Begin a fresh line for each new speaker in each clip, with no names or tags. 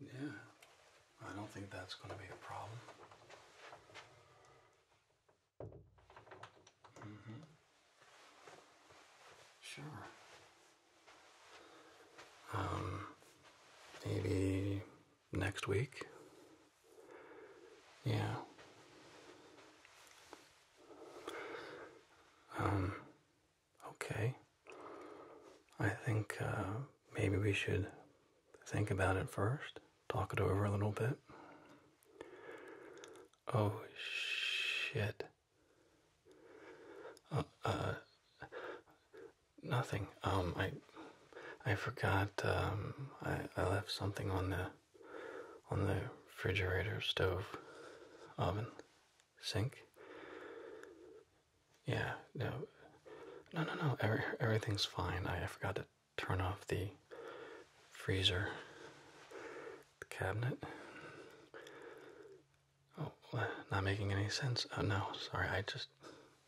Yeah, I don't think that's going to be a problem. Mm hmm. Sure. Um, maybe next week? Yeah. Um, Okay. I think uh, maybe we should think about it first, talk it over a little bit. Oh shit. Uh, uh nothing. Um, I, I forgot. Um, I, I left something on the, on the refrigerator, stove, oven, sink. Yeah, no, no, no, no. Every, everything's fine. I, I forgot to turn off the freezer, the cabinet. Oh, not making any sense. Oh no, sorry. I just,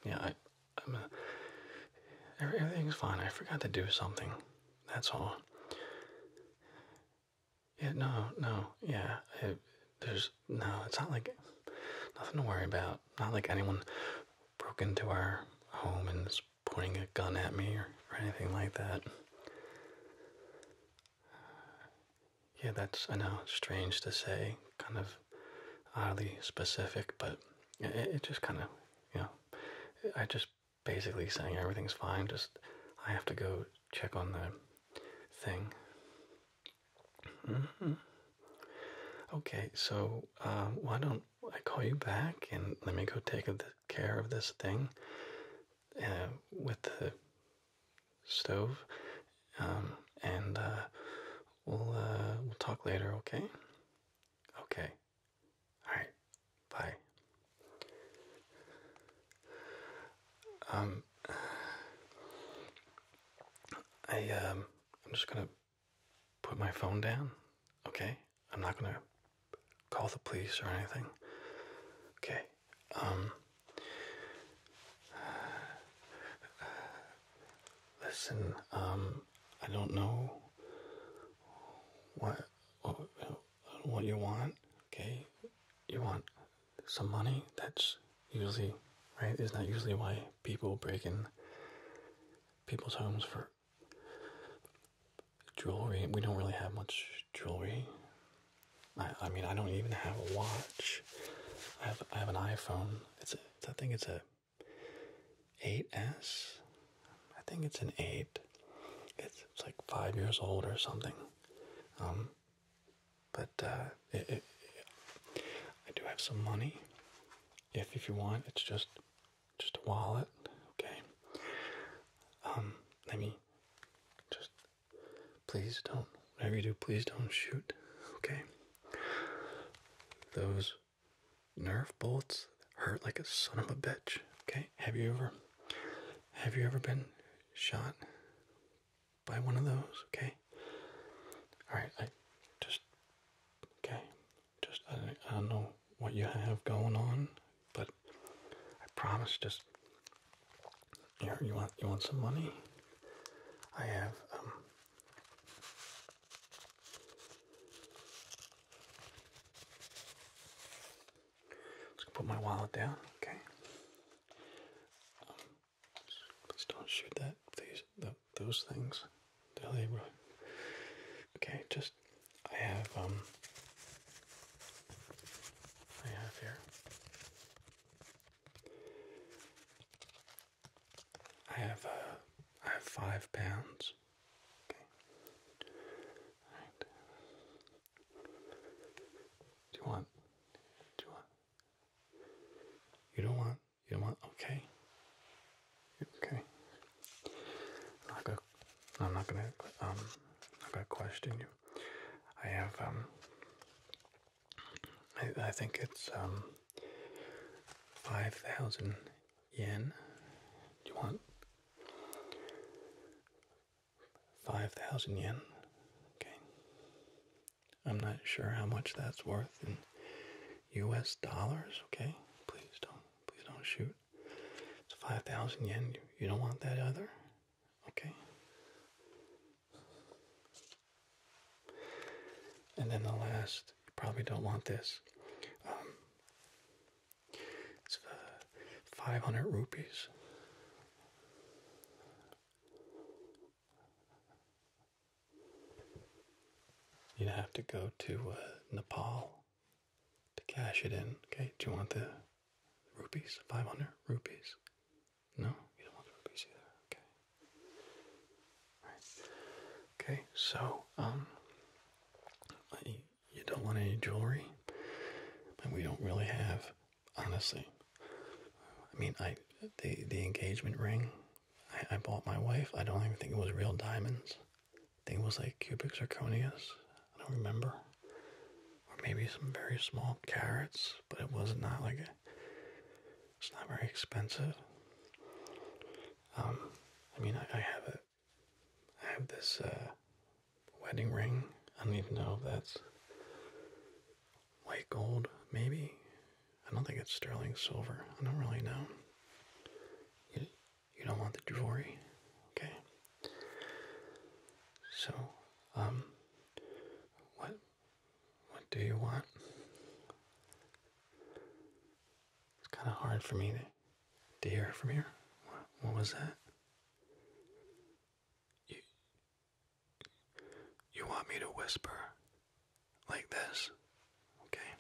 yeah, I, everything's fine. I forgot to do something. That's all. Yeah, no, no, yeah. there's no, it's not like nothing to worry about. Not like anyone broke into our home and is pointing a gun at me or, or anything like that. Yeah, that's, I know, strange to say, kind of oddly specific, but it just kind of, you know, I just basically saying everything's fine, just I have to go check on the thing. -hmm. Okay, so uh, why don't I call you back and let me go take care of this thing uh, with the stove, um, and uh, we'll uh, we'll talk later. Okay. Okay. All right. Bye. Um. I um, I'm just gonna put my phone down, okay? I'm not gonna call the police or anything. Okay. Um, listen, um I don't know what what you want, okay? You want some money. That's usually right. Isn't usually why people break in people's homes for jewelry? We don't really have much jewelry. I, I mean, I don't even have a watch. I have I have an iPhone. It's a, I think it's a 8s. I think it's an 8. It's, it's like 5 years old or something. Um but uh, I do have some money. If if you want, it's just just a wallet. Okay. Um, let me just please don't whatever you do, please don't shoot. Okay. Those nerve bolts hurt like a son of a bitch. Okay. Have you ever have you ever been shot? buy one of those, okay? Alright, I just okay. Just I, I don't know what you have going on, but I promise just you want you want some money? I have um Let's put my wallet down, okay? Um, Let's don't shoot that these those things. Okay, just I have um I have here. I have uh have five pounds. Okay. Do you want do you want you don't want? You don't want? Okay. Okay. I'm not gonna. Um, I'm gonna question you. I have. Um. I, I think it's um. Five thousand yen. Do you want? Five thousand yen. Okay. I'm not sure how much that's worth in US dollars, okay? Please don't please don't shoot. It's 5,000 yen. You, don't want that either? Okay. And then the last, probably don't want this. Um, it's uh, 500 rupees. You'd have to go to uh, Nepal to cash it in. Okay, do you want the rupees? 500 rupees? No, you don't want rupees either. Okay. All right. Okay, so, um, you don't want any jewelry, and we don't really have honestly. I mean, I the the engagement ring I, I bought my wife. I don't even think it was real diamonds. I think it was like cubic zirconias. I don't remember, or maybe some very small carrots. But it was not like a, it's not very expensive. Um, I mean, I, I have a, I have this uh, wedding ring. I don't even know if that's White gold, maybe? I don't think it's sterling silver. I don't really know. You, you don't want the jewelry? Okay. So, um, what, what do you want? It's kind of hard for me to, to hear from here. What, what was that? You want me to whisper like this? Okay.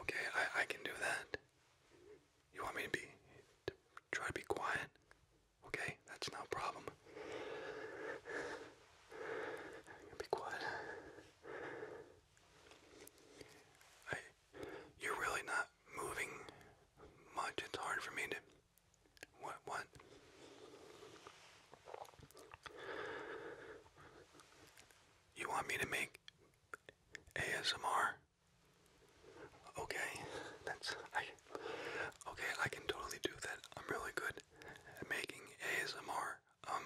Okay, I, I can do that. You want me to be try to be quiet? Okay, that's no problem. Be quiet. I, you're really not moving much. It's hard for me to what, what? You want me to make ASMR? Okay, that's Okay, I can totally do that. I'm really good at making ASMR. Um,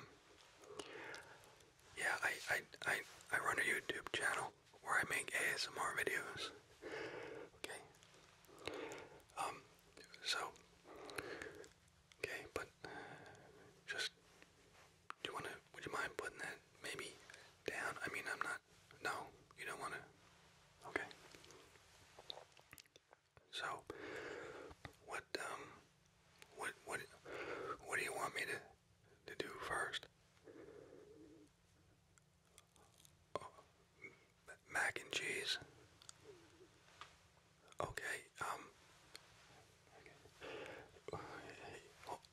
yeah, I I I I run a YouTube channel where I make ASMR videos. Okay. Um, so, okay, but just you want to? Would you mind putting that maybe down? I mean, I'm not. No, you don't want to. Okay. So, what um, what what what do you want me to to do first? Oh, mac and cheese. Okay, um.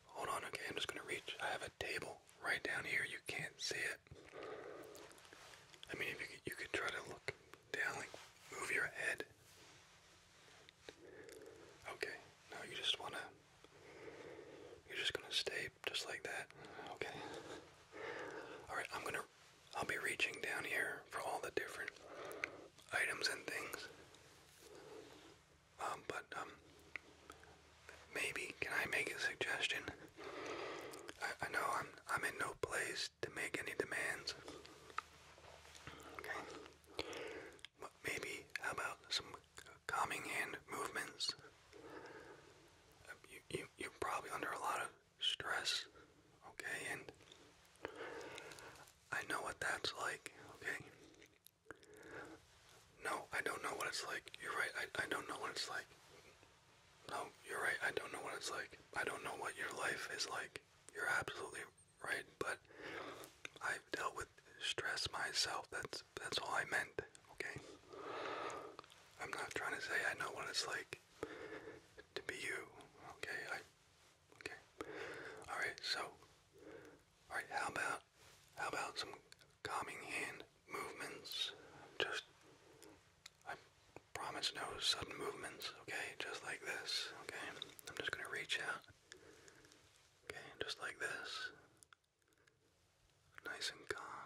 hold on, okay, I'm just gonna reach. I have a table right down here. You can't see it. I mean, if you could, you could try to look down, like move your head. Okay, now you just wanna. You're just gonna stay just like that. Okay. Alright, I'm gonna I'll be reaching down here for all the different items and things. Um, but um, maybe can I make a suggestion? I know I'm I'm in no place to make any demands. Okay, but maybe how about some calming hand movements? Uh, you you you're probably under a lot of stress, okay? And I know what that's like, okay? No, I don't know what it's like. You're right, I, I don't know what it's like. No, you're right, I don't know what it's like. I don't know what your life is like. You're absolutely right, but I've dealt with stress myself. That's that's all I meant, okay? I'm not trying to say I know what it's like to be you. Okay, I okay. Alright, so alright, how about how about some calming hand movements? Just I promise no sudden movements, okay? Just like this, okay? I'm just gonna reach out. Okay, just like this. Nice and calm.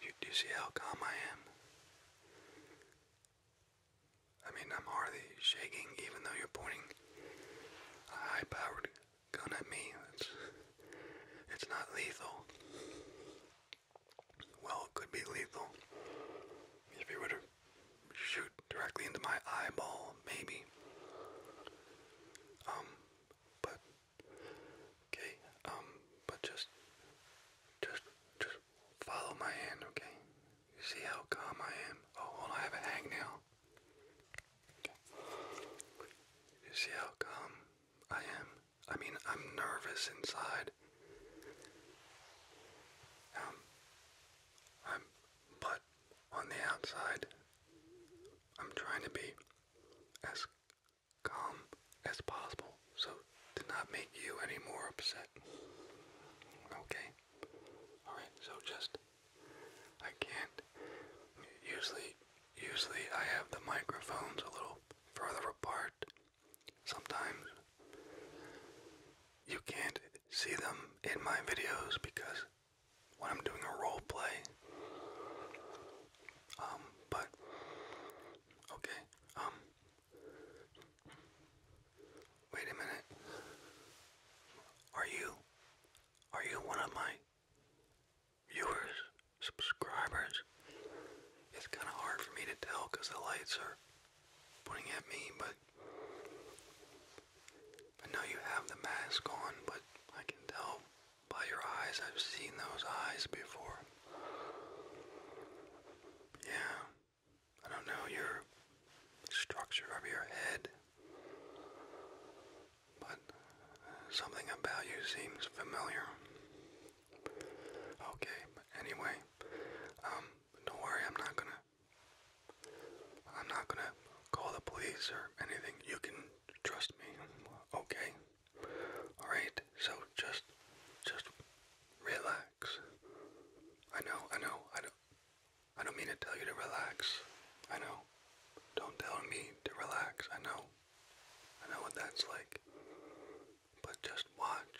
You, do see how calm I am? I mean, I'm hardly shaking, even though you're pointing a high-powered gun at me. It's, it's not lethal. Well, could be lethal. If you were to shoot directly into my eyeball, maybe. Um, but Okay, um, but just, just, just follow my hand, okay? You see how calm I am? Oh, hold I have a hangnail. Okay. You see how calm I am? I mean, I'm nervous inside. Um, I'm, but on the outside, I'm trying to be as as possible so to not make you any more upset. Okay? Alright, so just I can't usually usually I have the microphones a little further apart. Sometimes you can't see them in my videos because when I'm doing a role play, um, but okay. Um Wait a minute. Are you are you one of my viewers, subscribers? It's kind of hard for me to tell cuz the lights are pointing at me, but I know you have the mask on, but I can tell by your eyes. I've seen those eyes before. Yeah. I don't know your structure of your head, but something about you seems familiar. Okay, anyway, um, don't worry, I'm not gonna, I'm not gonna call the police or anything. You can trust me, okay? Alright, so just just relax. I know, I know, I don't I don't mean to tell you to relax. I know. Don't tell me to relax, I know. I know what that's like. But just watch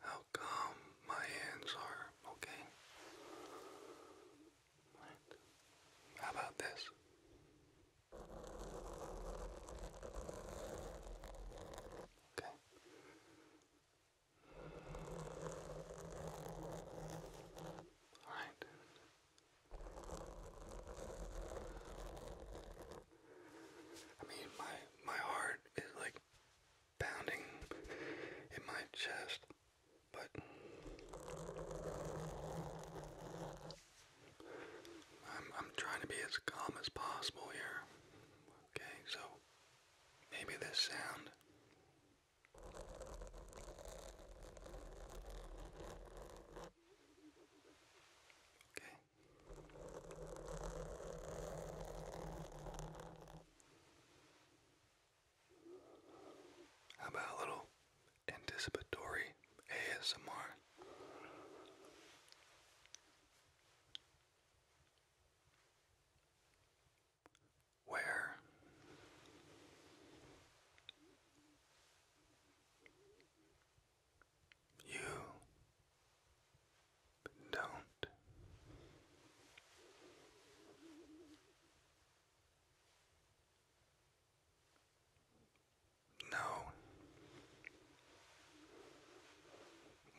how calm my hands are, okay? How about this? Okay. All right. I mean, my my heart is like pounding in my chest, but I'm, trying to be as calm as possible here. Okay, so maybe this sound. Okay. How about a little anticipatory ASMR. Where you don't know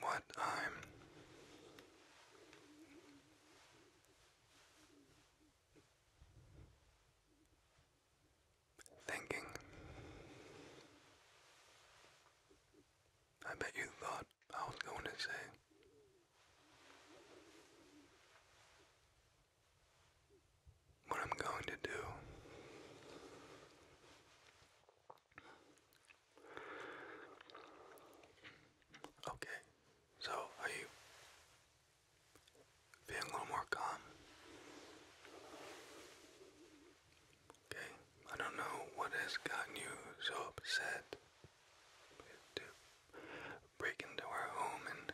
what I'm thinking. I bet you thought I was going to say what I'm going to do Okay, so are you feeling a little more calm? Okay, I don't know what has gotten you so upset to break into our home and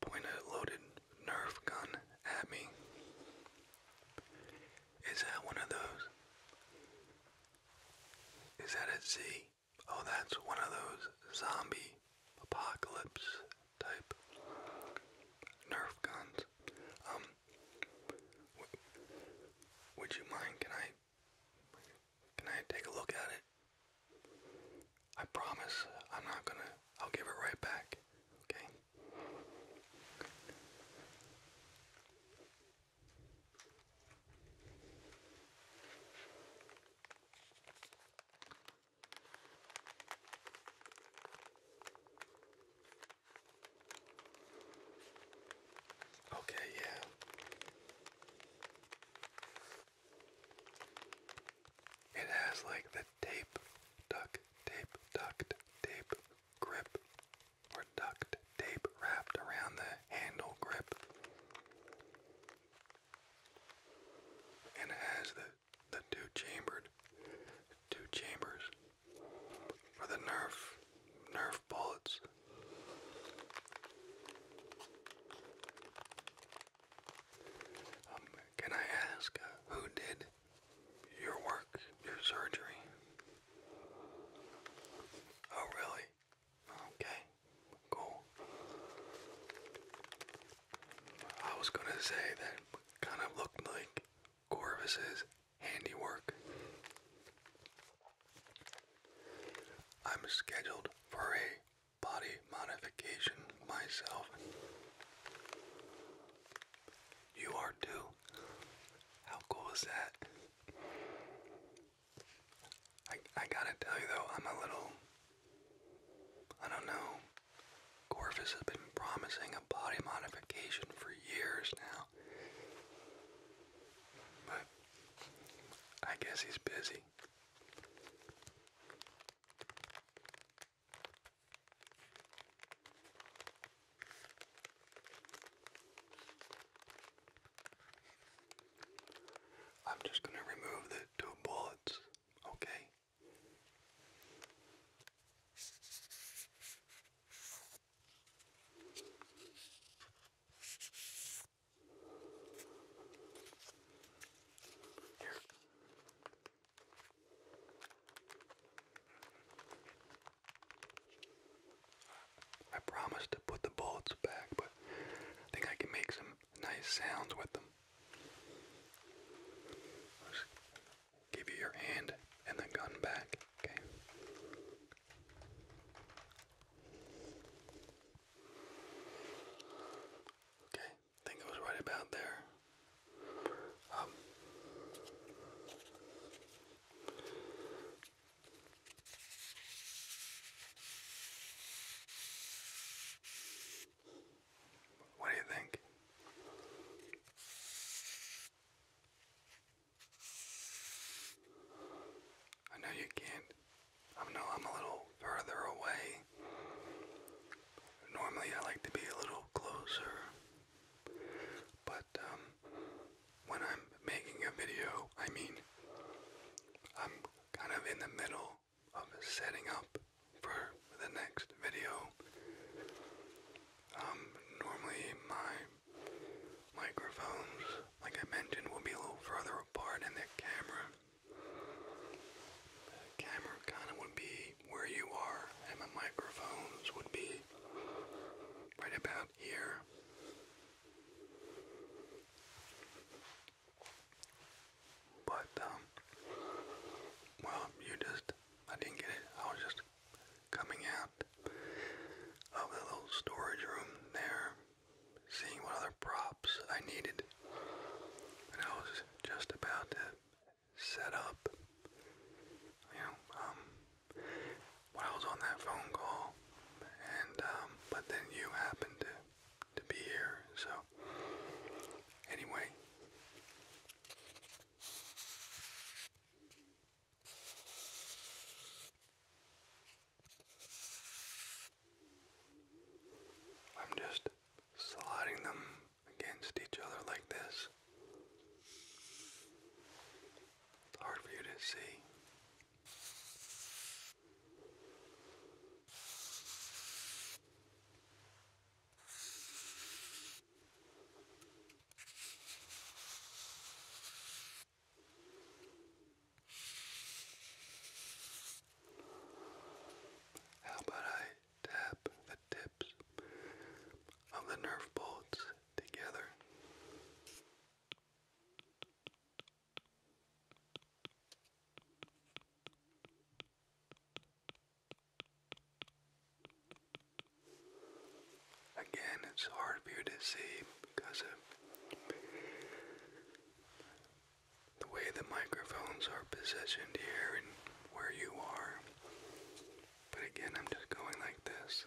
point a loaded nerve gun at me. Is that one of those? Is that a Z? Oh, that's one of those zombie apocalypse type nerf guns. Um, would you mind? Can I? Can I take a look at it? I promise I'm not gonna, I'll give it right back, okay? Okay, yeah. It has like the tape, duct tape, duct tape grip, or duct tape wrapped around the handle grip. And it has the the two chambered two chambers for the nerf nerf bullets. Um, can I ask uh, who did your work, your surgery? Oh, really? Okay, cool. I was gonna say that kind of looked like Corvus's handiwork. I'm scheduled for a body modification myself. You are too. How cool is that? I, I gotta tell you though, I'm a little. I don't know. Corvus has been promising a body modification for years now. But I guess he's busy. I'm just going to remove the two bullets, okay? Here, I promised to put the bullets back, but I think I can make some nice sounds with them. give you your hand and the gun back, okay? Okay, I think it was right about there. Um, what do you think? I know you can I know I'm a little further away. Normally I like to be a little closer. But um, when I'm making a video, I mean I'm kind of in the middle of setting up for the next video. Um, normally my microphones, like I mentioned, will be a little further apart in the camera. The camera kind of would be where you are, and my microphones would be right about here. But, um, well, you just, I didn't get it. I was just coming out of the little storage room there, seeing what other props I needed. And I was just about to set up. You know, um, I was on that phone call, and um, but then you happened to to be here, so anyway. I'm just sliding them against each other like this. It's hard for you to see. How about I tap the tips of the nerve bolts together? Again, it's hard for you to see because of the way the microphones are positioned here and where you are. But again, I'm just going like this.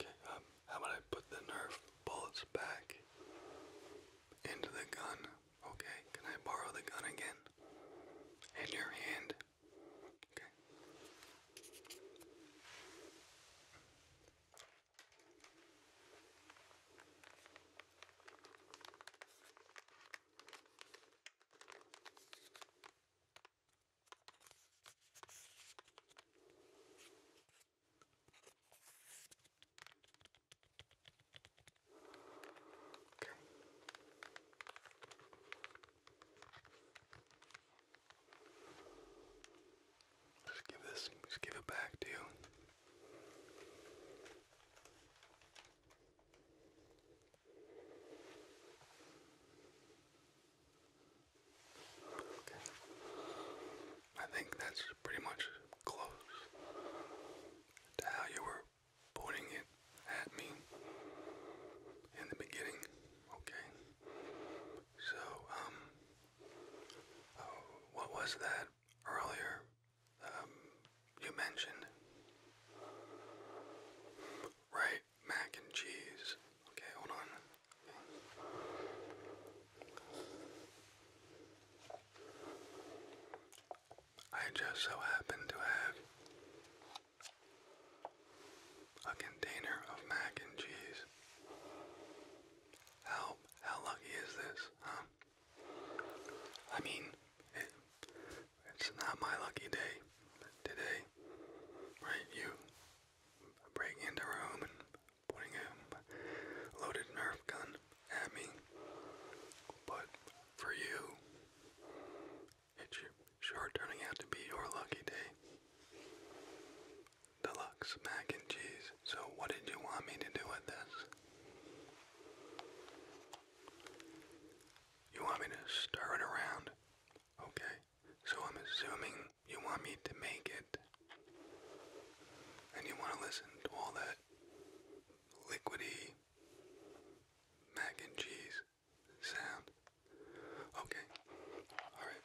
Okay, um, how about I put the Nerf bullets back into the gun? Okay, can I borrow the gun again? In your hand. Okay. Okay. Just give this, just give it back to you. Okay. I think that's pretty much close to how you were pointing it at me in the beginning, okay? So, um, oh, what was that earlier um, you mentioned? Right, mac and cheese. Okay, hold on. I just so happen to have a container of mac and cheese. How how lucky is this, huh? I mean, it's not my lucky day today, right? You breaking into a room and putting a loaded Nerf gun at me, but for you, it's sure turning out to be your lucky day. Deluxe mac and cheese. So, what did you want me to do with this? You want me to stir it around? Okay. So, I'm assuming you want me to make it. And you want to listen to all that liquidy mac and cheese sound. Okay, all right.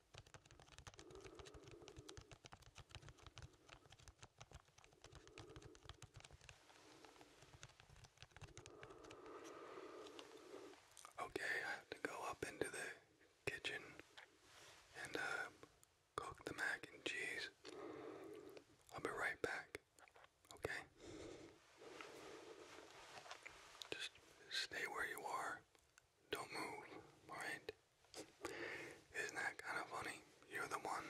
Okay, I have to go up into the kitchen and uh, cook the mac and cheese. I'll be right back. Okay? Just stay where you are. Don't move, alright? Isn't that kind of funny? You're the one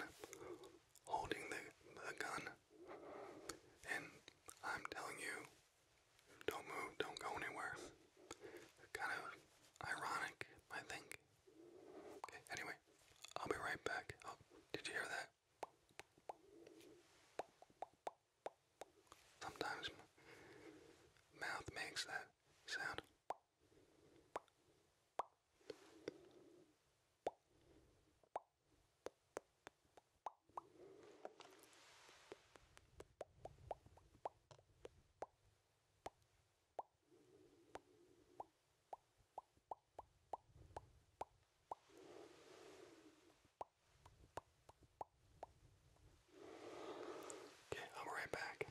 holding the, the gun, and I'm telling you, don't move, don't go anywhere. Kind of ironic, I think. anyway, I'll be right back. Oh, did you hear that? Sometimes mouth makes that sound. Okay, I'm right back.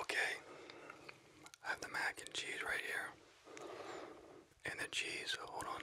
Okay, I have the mac and cheese right here. And the cheese, hold on.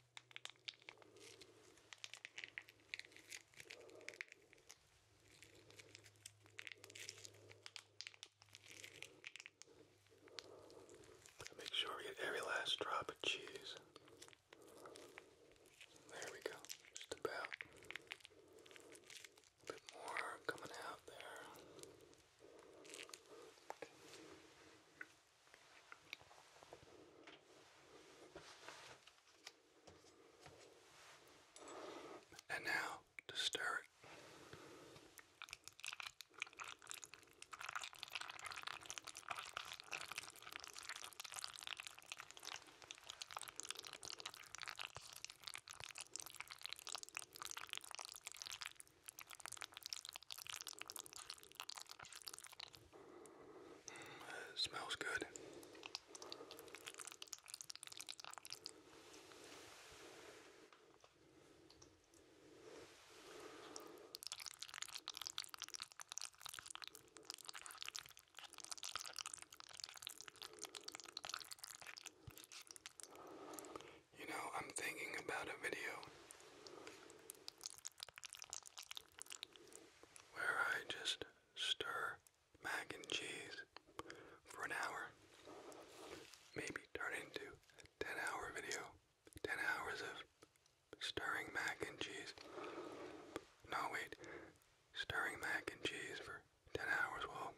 Gotta make sure we get every last drop of cheese. There we go, just about. A bit more coming out there. And now to stir it. It smells good. You know, I'm thinking about a video where I just stir mac and cheese for an hour, maybe turn into 10 hour video, 10 hours of stirring mac and cheese. No, wait, stirring mac and cheese for 10 hours, well,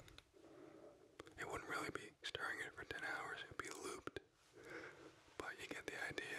it wouldn't really be stirring it for 10 hours, it would be looped, but you get the idea.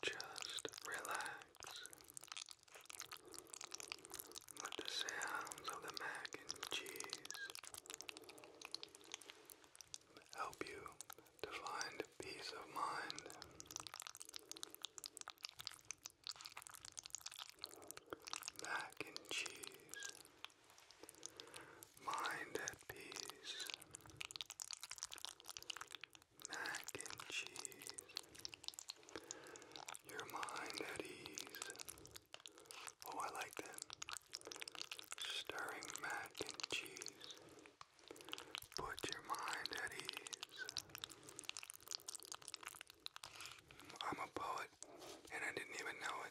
Just relax with the sounds of the mac and cheese help you to find peace of mind. Mac and cheese Mind at peace. Mac and cheese. Your mind at ease. Oh, I like that. Stirring mac and cheese. Put your mind at ease. I'm a poet, and I didn't even know it.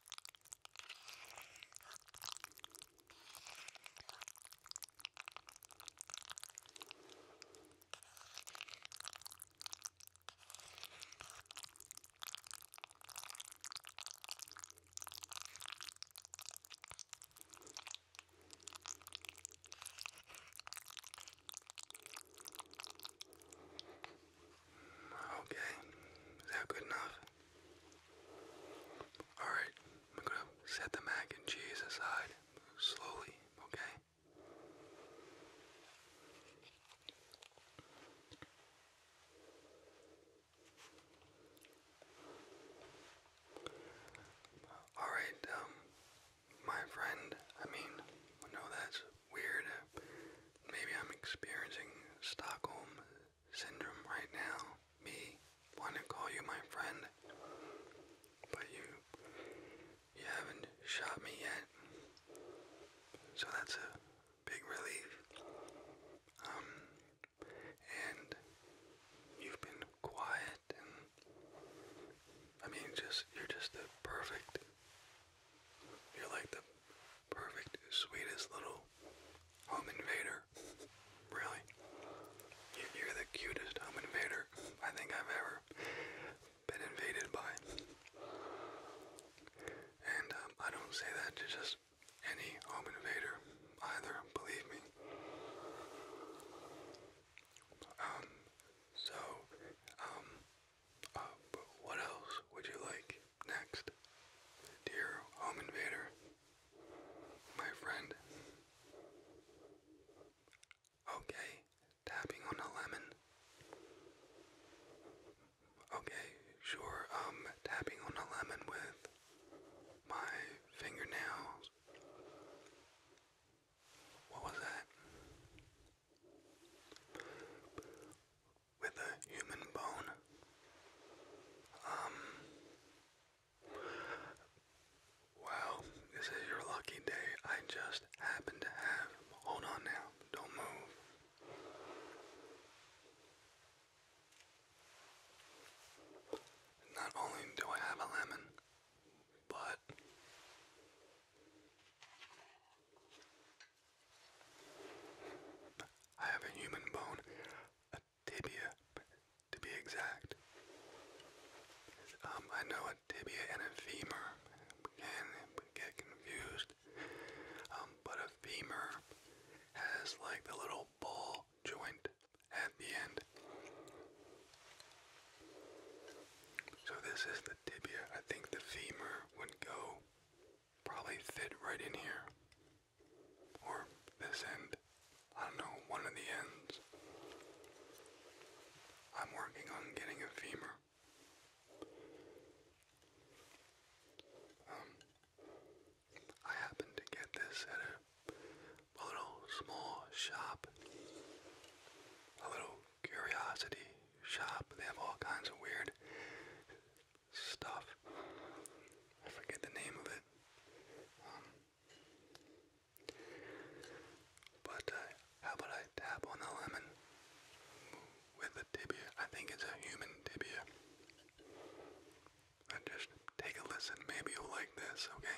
Okay, is that good enough? Alright, I'm gonna set the mac and cheese aside slowly, okay? Alright, um, my friend, I mean, I know that's weird. Uh, maybe I'm experiencing Stockholm syndrome right now, me want to call you my friend, but you you haven't shot me yet, so that's a big relief. Um, and you've been quiet, and I mean, just you're just the perfect. You're like the Perfect, sweetest little home invader. Really, you're the cutest home invader I think I've ever been invaded by. And um, I don't say that to just any home invader either, believe me. Um, so, um, uh, what else would you like? Next, dear home invader, my friend. Okay, tapping on a lemon. Okay, sure, um, tapping on a lemon with my fingernails. What was that? with a human bone. Um, wow, this is your lucky day. I just happen to have. Hold on now, don't move. Not only do I have a lemon, but I have a human bone, tibia to be exact. Um, I know a tibia and a femur can get confused, um, but a femur has like the little ball joint at the end. So this is the tibia. I think the femur would go probably fit right in here. Or this end. I don't know, one of the ends. I'm working on getting a femur. Um, I happened to get this at a little small shop, a little curiosity shop. They have all kinds of weird stuff. I forget the name of it. Um, but uh, how about I tap on the lemon with the tibia? I think it's a human tibia. I just take a listen. Maybe you'll like this, okay?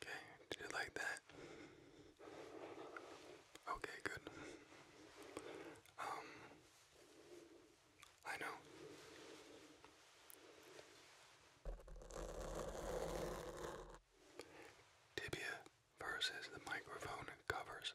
Okay, did you like that? Okay, good. Um, I know. Tibia versus the microphone covers.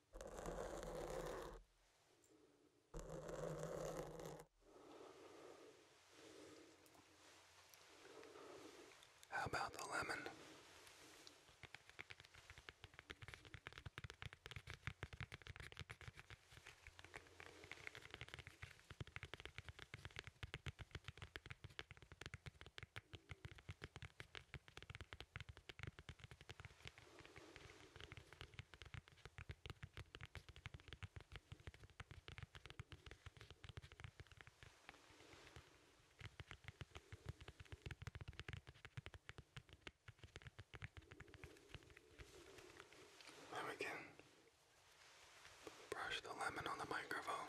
How about the lemon? Then we can brush the lemon on the microphone.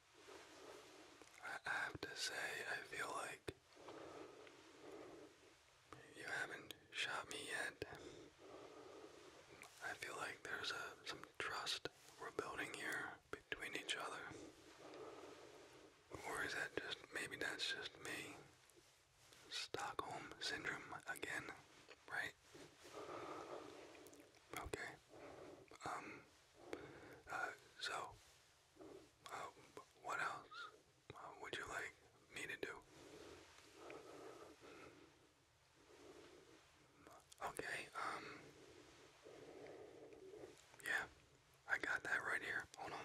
I have to say, I feel like you haven't shot me yet. I feel like there's some trust we're building here between each other. Or is that just, maybe that's just me? Stockholm Syndrome again, right? Okay, um, uh, so, uh, what else uh, would you like me to do? Okay, um, yeah, I got that right here. Hold on.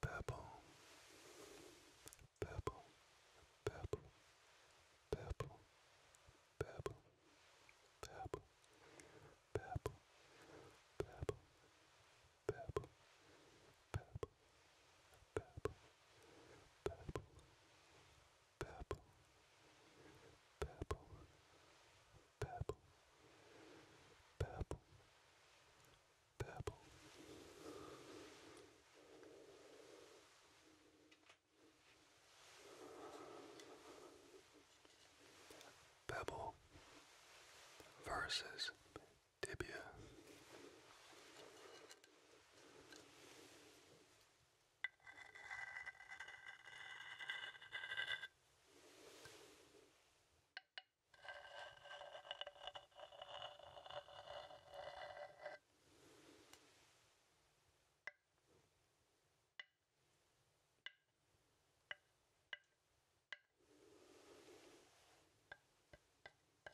Purple, purple, purple, purple, purple, purple, purple, purple, purple, purple, purple, purple, purple, purple, purple, purple, purple, purple. Pebble versus tibia.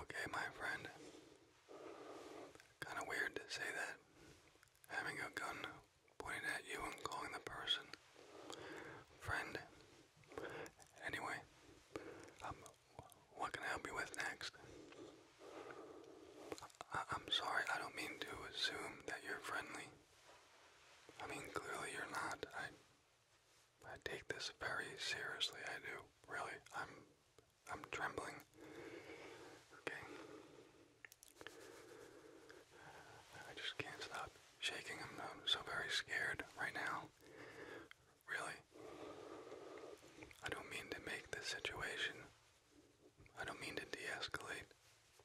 Okay, my friend. Kind of weird to say that. Having a gun pointed at you and calling the person friend. Anyway, um, what can I help you with next? I am sorry, I don't mean to assume that you're friendly. I mean, clearly you're not. I I take this very seriously. I do. Really. I'm I'm trembling. Okay. I just can't stop shaking. I'm, so very scared right now. Really. I don't mean to make this situation. I don't mean to de-escalate.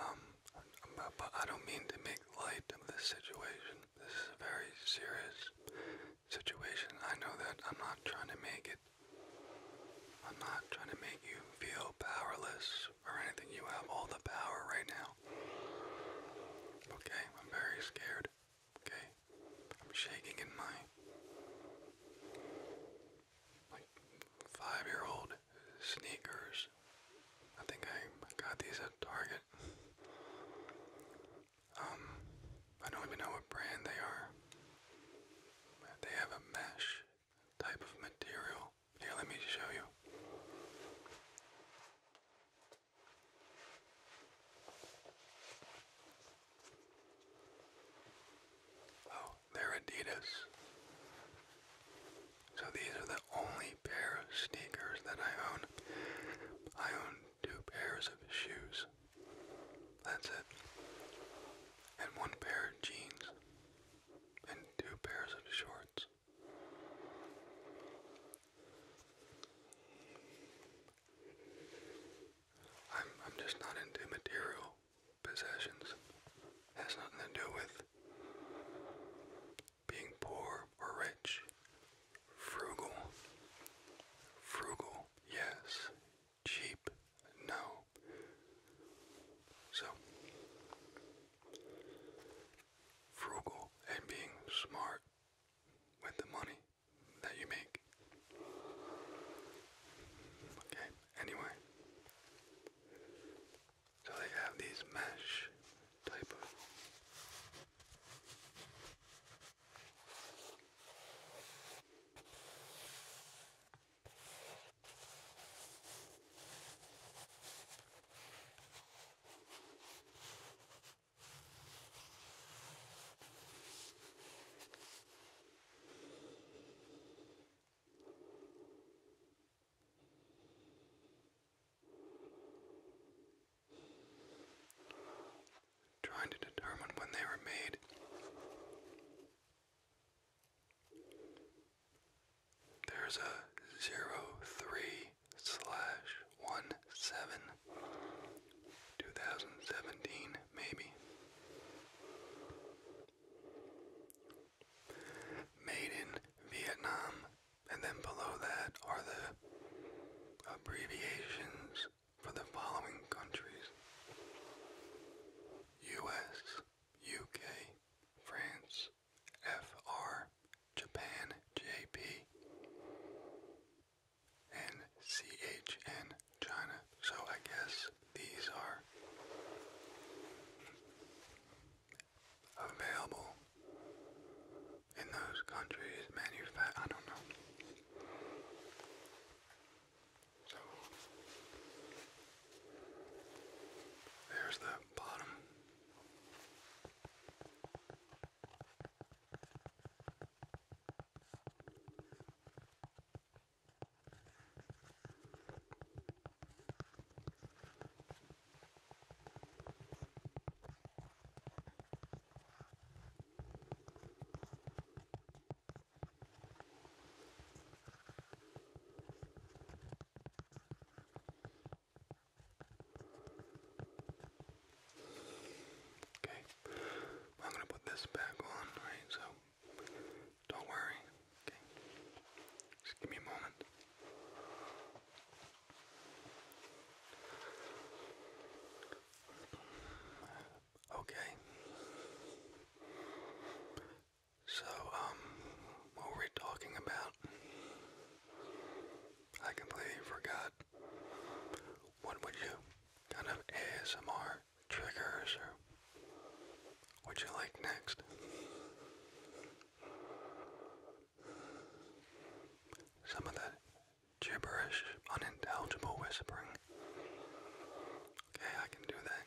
Um, but I don't mean to make light of this situation. This is a very serious situation. I know that I'm not trying to make it. I'm not trying to make you feel powerless or anything. You have all the power right now. Okay, I'm very scared. Okay, I'm shaking in my like five year old sneakers. I think I got these at Target. Um, I don't even know what brand they are. They have a mesh type of material. Here, let me show you. Oh, they're Adidas. So these are the only pair of sneakers that I own. I own two pairs of shoes. That's it. And one pair of jeans. And two pairs of shorts. I'm I'm just not into material possessions. has nothing to do with being poor or rich. Frugal. Frugal, yes. Cheap, no. So, frugal and being smart with the money that you make. Okay anyway. So they have these mesh type of Trying to determine when they were made. There's a zero three slash one seven two thousand seventeen maybe. Made in Vietnam, and then below that are the abbreviations for the following countries US, UK, France, FR, Japan, JP, and CHN, China. So I guess these are available in those countries manufactured. I don't know. So there's the bottom. Okay, I'm gonna put this back on, right? So don't worry. Okay. Just give me a moment. Okay. So, um, what were talking about? I completely forgot. What would you kind of ASMR triggers or would you like next? Some of that gibberish, unintelligible whispering. Okay, I can do that.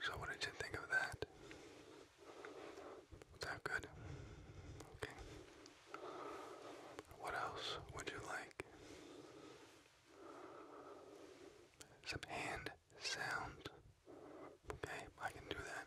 So what did you think of that? Was that good? Okay. What else would you like? Some hand sounds. Okay, I can do that.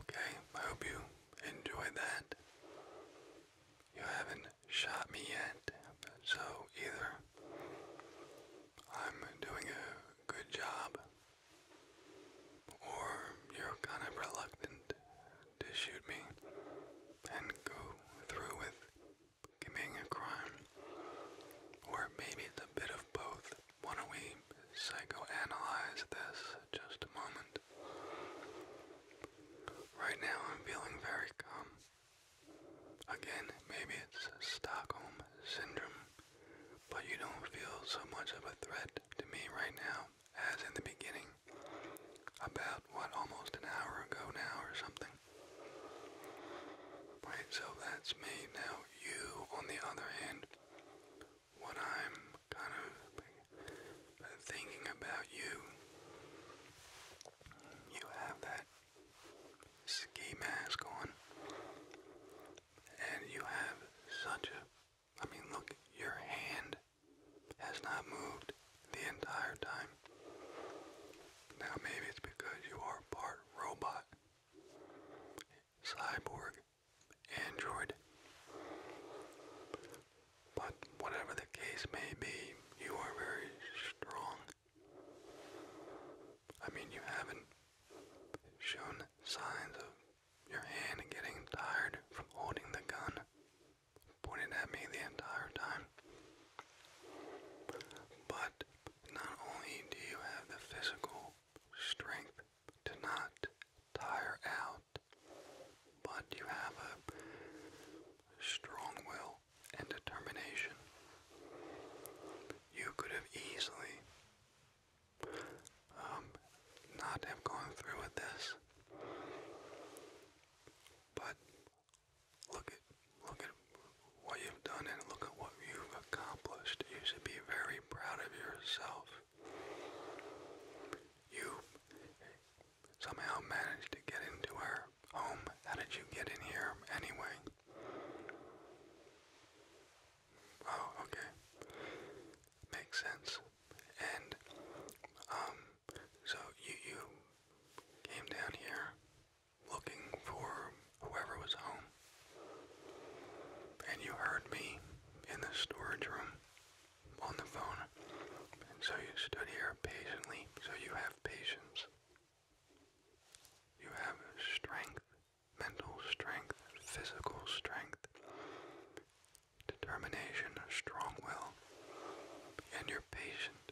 Okay, I hope you enjoyed that. You haven't shot me yet, so either I'm doing a good job, or you're kind of reluctant to shoot me and go through with committing a crime, or maybe it's a bit of both. Why don't we psychoanalyze this just a moment? Right now, I'm feeling very calm. Again, maybe it's Stockholm Syndrome, but you don't feel so much of a threat to me right now as in the beginning, about, what, almost an hour ago now or something. Right, so that's me. Now, you, on the other hand, what I'm kind of thinking about you, you have that ski mask on, and you have such a I mean, look, your hand has not moved the entire time. Now maybe it's because you are part robot, cyborg, android. But whatever the case may be, you are very strong. I mean, you haven't shown signs of your hand getting tired from holding the gun pointed at me the entire time. But not only do you have the physical strength to not tire out, but you have a strong will and determination. You could have easily um, not have gone through with this, but Look at look at what you've done and look at what you've accomplished. You should be very proud of yourself. You somehow managed to get into our home. How did you get in here anyway? Oh, okay. Makes sense. And um so you you came down here looking for whoever was home. And you heard me in the storage room on the phone. And so you stood here patiently. So you have patience. You have strength, mental strength, physical strength, determination, strong will, and you're patient.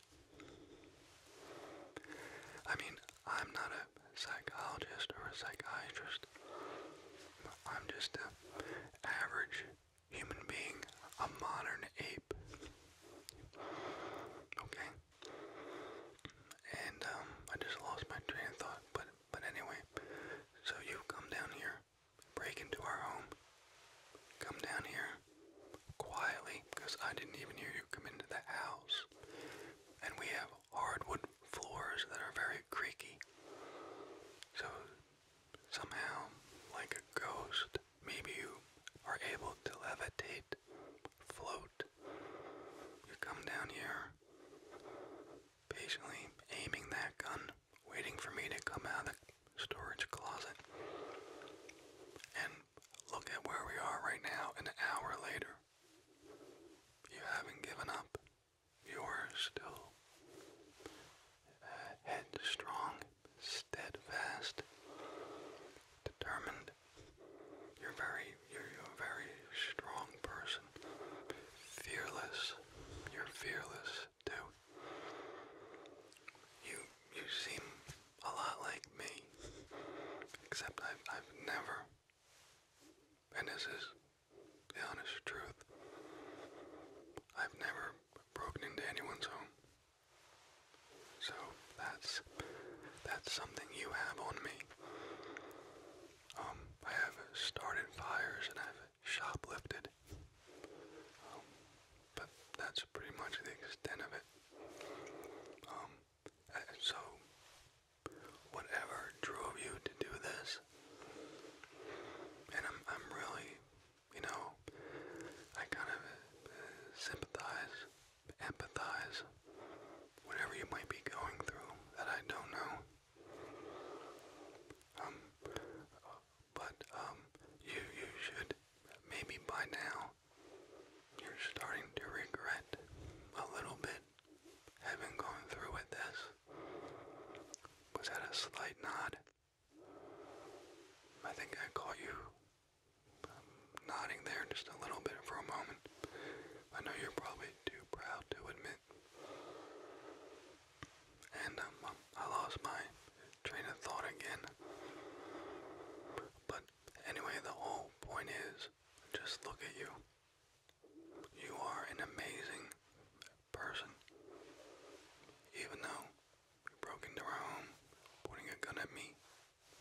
I mean, I'm not a psychologist or a psychiatrist. I'm just an average human being, a modern ape. Okay? And um, I just lost my train of thought, but but anyway, so you come down here, break into our home, come down here, quietly because I didn't even hear you come into the house. And we have hardwood floors that are very creaky. So somehow, like a ghost, maybe you are able to levitate, float. You come down here, patiently aiming that gun, waiting for me to come out of storage closet. And Look at where we are right now, an hour later. You haven't given up. You are still headstrong, steadfast, determined. You're very, you're, a very strong person. Fearless. You're fearless too. You, you seem a lot like me, except I've, I've never, and this is the honest truth, I've never broken into anyone's home. So that's that's something you have on me. Um, I have started fires and I've shoplifted. Um, but that's pretty much the extent of it. Um, so, whatever drove you to do this, and I'm, I'm really, you know, I kind of uh, sympathize, empathize, whatever you might be going through that I don't know. Um, but um, you you should maybe by now you're starting to regret a little bit having gone through with this. Was that a slight nod? I think I caught you um, nodding there just a little bit for a moment. I know you're probably too proud to admit. And um, I lost my train of thought again. But anyway, the whole point is just look at you. You are an amazing person. Even though you broke into our home, pointing a gun at me,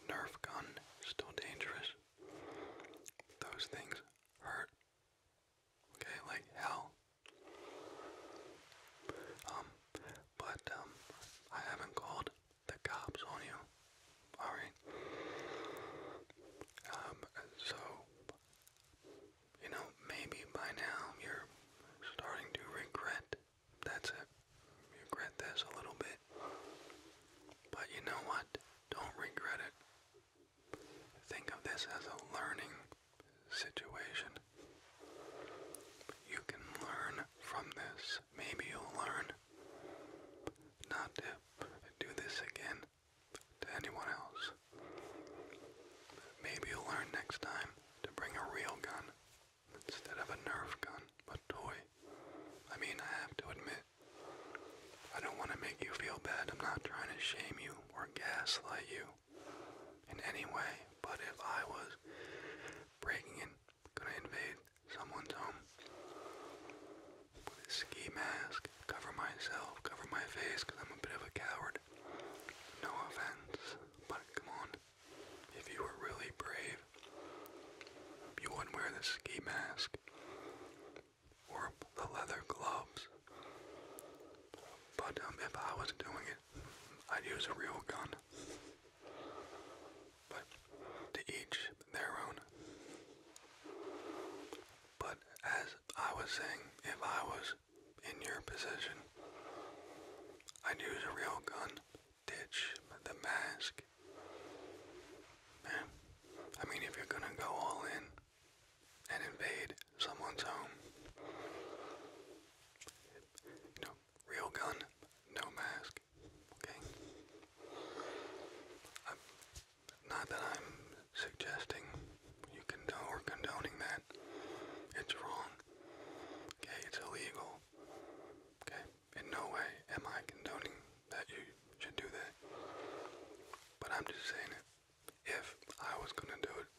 Nerf gun, still dangerous. Those things hurt. Okay, like hell. Um, but um, I haven't called the cops on you. Alright? Um, so, you know, maybe by now you're starting to regret. That's it. regret this a little bit. But you know what? Don't regret it. Think of this as a learning situation. You can learn from this. Maybe you'll learn not to do this again to anyone else. Maybe you'll learn next time to bring a real gun instead of a Nerf gun, a toy. I mean, I have to admit, I don't want to make you feel bad. I'm not trying to shame you or gaslight you in any way, but if I was breaking in, gonna invade someone's home. Put a ski mask, cover myself, cover my face, I'm a bit of a coward. No offense, but come on. If you were really brave, you wouldn't wear the ski mask or the leather gloves. But um, if I was doing it, I'd use a real gun. But to each their own. But as I was saying, if I was in your position, I'd use a real gun, ditch the mask. Man, I mean, if you're gonna go all in and invade someone's home, you real gun, no mask. Okay? not that I'm suggesting you condone or condoning that. It's wrong. Okay? It's illegal. Okay? In no way am I condoning that you should do that. But I'm just saying it. If I was gonna do it,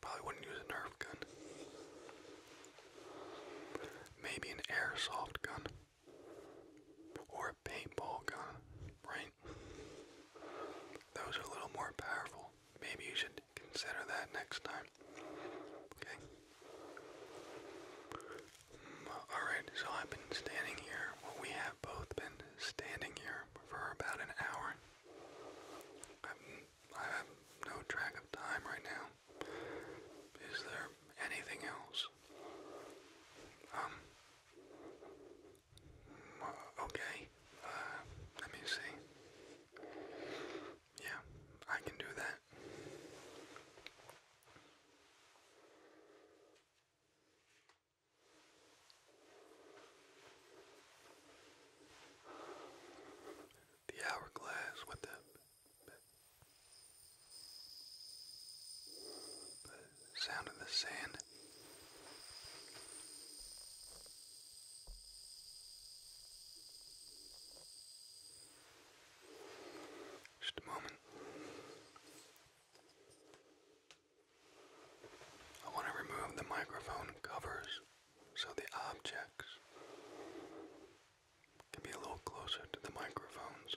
probably wouldn't use a Nerf gun. Maybe an airsoft gun or a paintball gun, right? Those are a little more powerful. Maybe you should consider that next time. Okay? Mm, uh, Alright, so I've been standing here. we have both been standing here for about an hour. I have no track of time right now. Is there anything else? Um, uh, okay. Uh, let me see. Yeah, I can do that. The hourglass with the the sound of the sand. Just a moment. I want to remove the microphone covers so the objects can be a little closer to the microphones.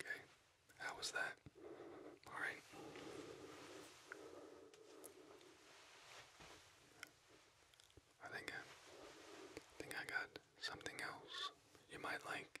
Okay, how was that? All right. I think I, think I got something else you might like.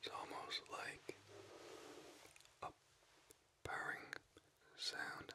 It's almost like a purring sound.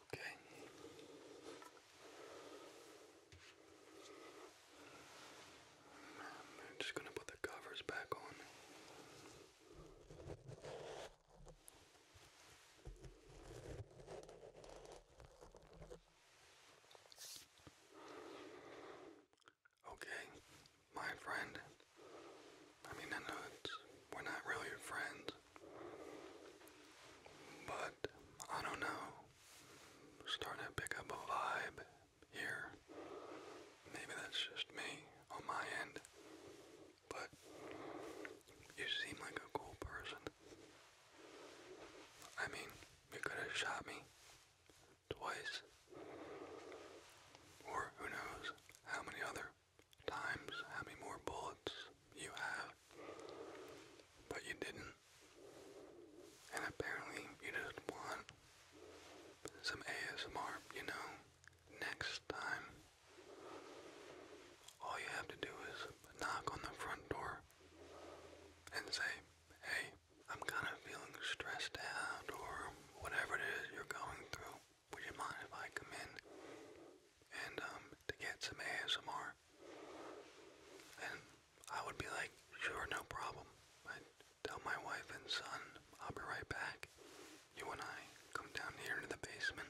Okay. I'm just going to put the covers back on. Okay, my friend. I mean, I know it's, we're not really friends, but I don't know. Starting to pick up a vibe here. Maybe that's just me on my end. But you seem like a cool person. I mean, you could have shot me twice. Or who knows how many other times, how many more bullets you have, but you didn't. And apparently, you just want some ASMR, you know, next time. All you have to do is knock on the front door and say, hey, I'm kind of feeling stressed out or whatever it is you're going through. Would you mind if I come in and um, to get some ASMR. And I would be like, sure, no problem. i tell my wife and son, I'll be right back. You and I come down here to the basement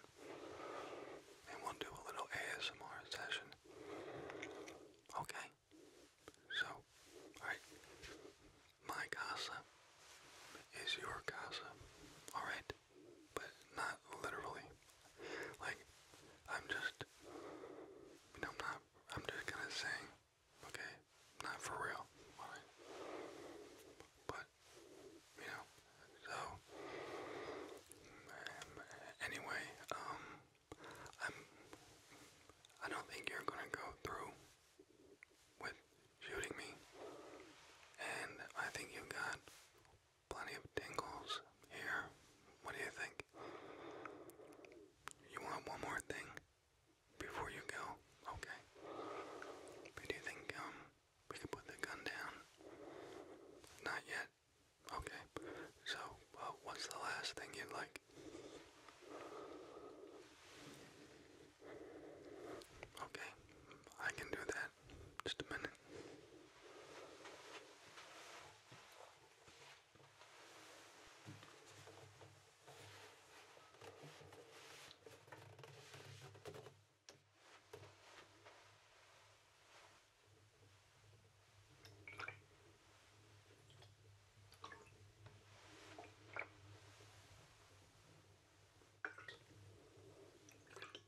and we'll do a little ASMR session. Okay. So, My casa is your casa. Alright? But not literally. Like, I'm just, you know, I'm I'm just gonna sing, okay? Not for real, But, you know, so, anyway, um, I'm, I don't think you're gonna go through with shooting me, and I think you got Plenty of tingles here. What do you think? You want one more thing before you go? Okay. do you think um we could put the gun down? Not yet. Okay. So, what's the last thing you'd like? Okay. I can do that. Just a minute.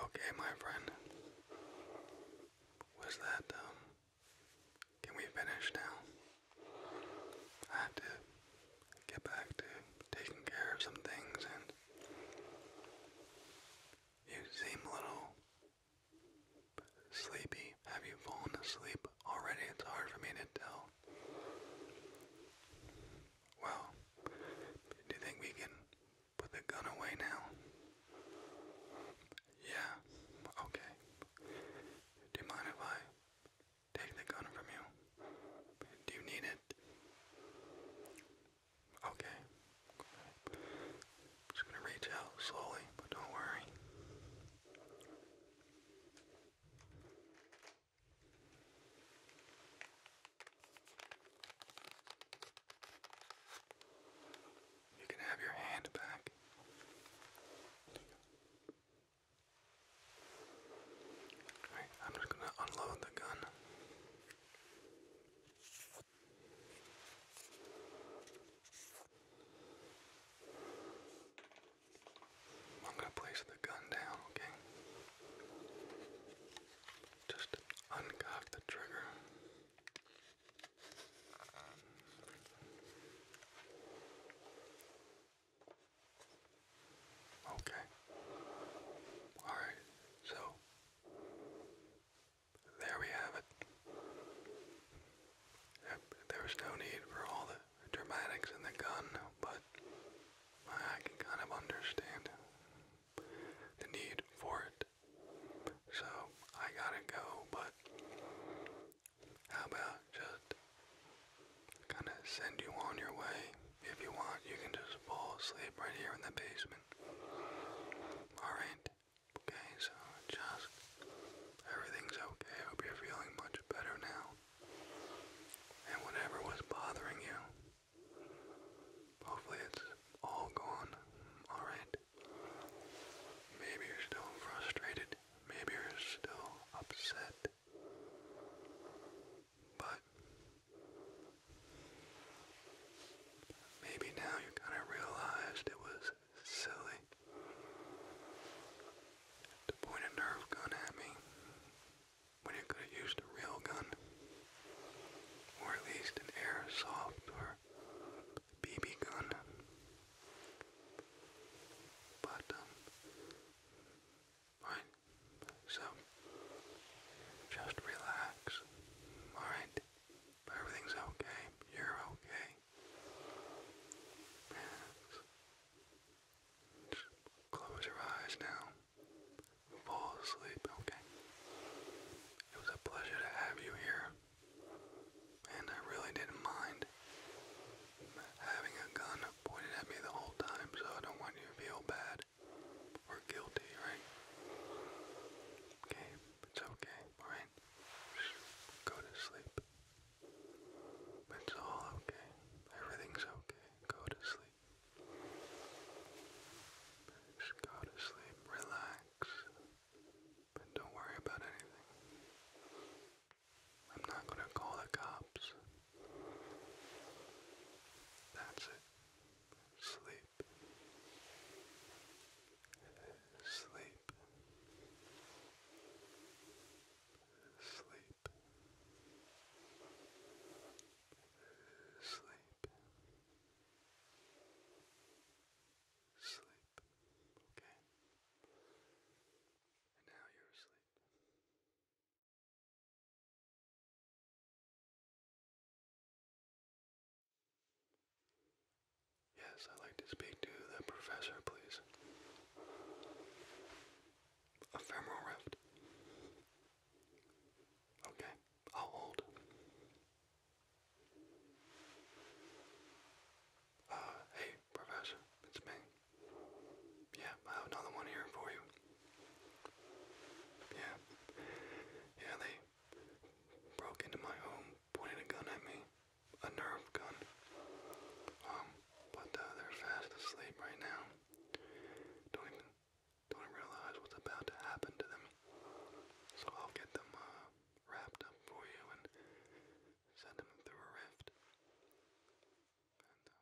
Okay, my friend. Was that, um, can we finish now? I have get back to taking care of some things, and you seem a little sleepy. Have you fallen asleep already? It's hard for me to tell. Well, do you think we can put the gun away now? Yeah, okay. Do you mind if I take the gun from you. Do you need it? Okay. just gonna reach out slowly, but don't worry. You can have your hand back. Alright, I'm just gonna unload the gun. I'm gonna place the gun down, okay? Just uncock the trigger. Okay. Alright, so there we have it. there was no need for all the dramatics in the gun, but I can kind of understand the need for it. So I gotta go, but how about just kind of send you on your way. If you want, you can just fall asleep right here in the basement. Alright? Okay, so just everything's okay. I hope you're feeling much better now. And whatever was bothering you, hopefully it's all gone. Alright? Maybe you're still frustrated. Maybe you're still upset. But maybe now you kind of realized it was silly to point a nerve gun at me when you could have used a real gun or at least an airsoft or BB gun. But um, so just relax. Alright? Everything's okay. You're okay. close your eyes now. Fall asleep, okay? It was a pleasure to have you here. And I really didn't mind having a gun pointed at me the whole time, so I don't want you to feel bad bad or guilty, right? Okay, it's okay, alright? Go to sleep. It's all okay. Everything's okay. Go to sleep. go to sleep. Relax. But don't worry about anything. I'm not gonna call the cops. That's it. Sleep. Sleep. Sleep. Sleep. Sleep. Okay. And now you're asleep. Yes, I'd like to speak to the professor, please. Ephemeral rift. Okay, I'll Uh, hey, professor, it's me. Yeah, I have another one here for you. Yeah. Yeah, they broke into my home, pointed a gun at me. A nerve gun. Um, but uh, they're fast asleep right now. Don't even don't realize what's about to happen to them. So I'll get them uh, wrapped up for you and send them through a rift. And, uh,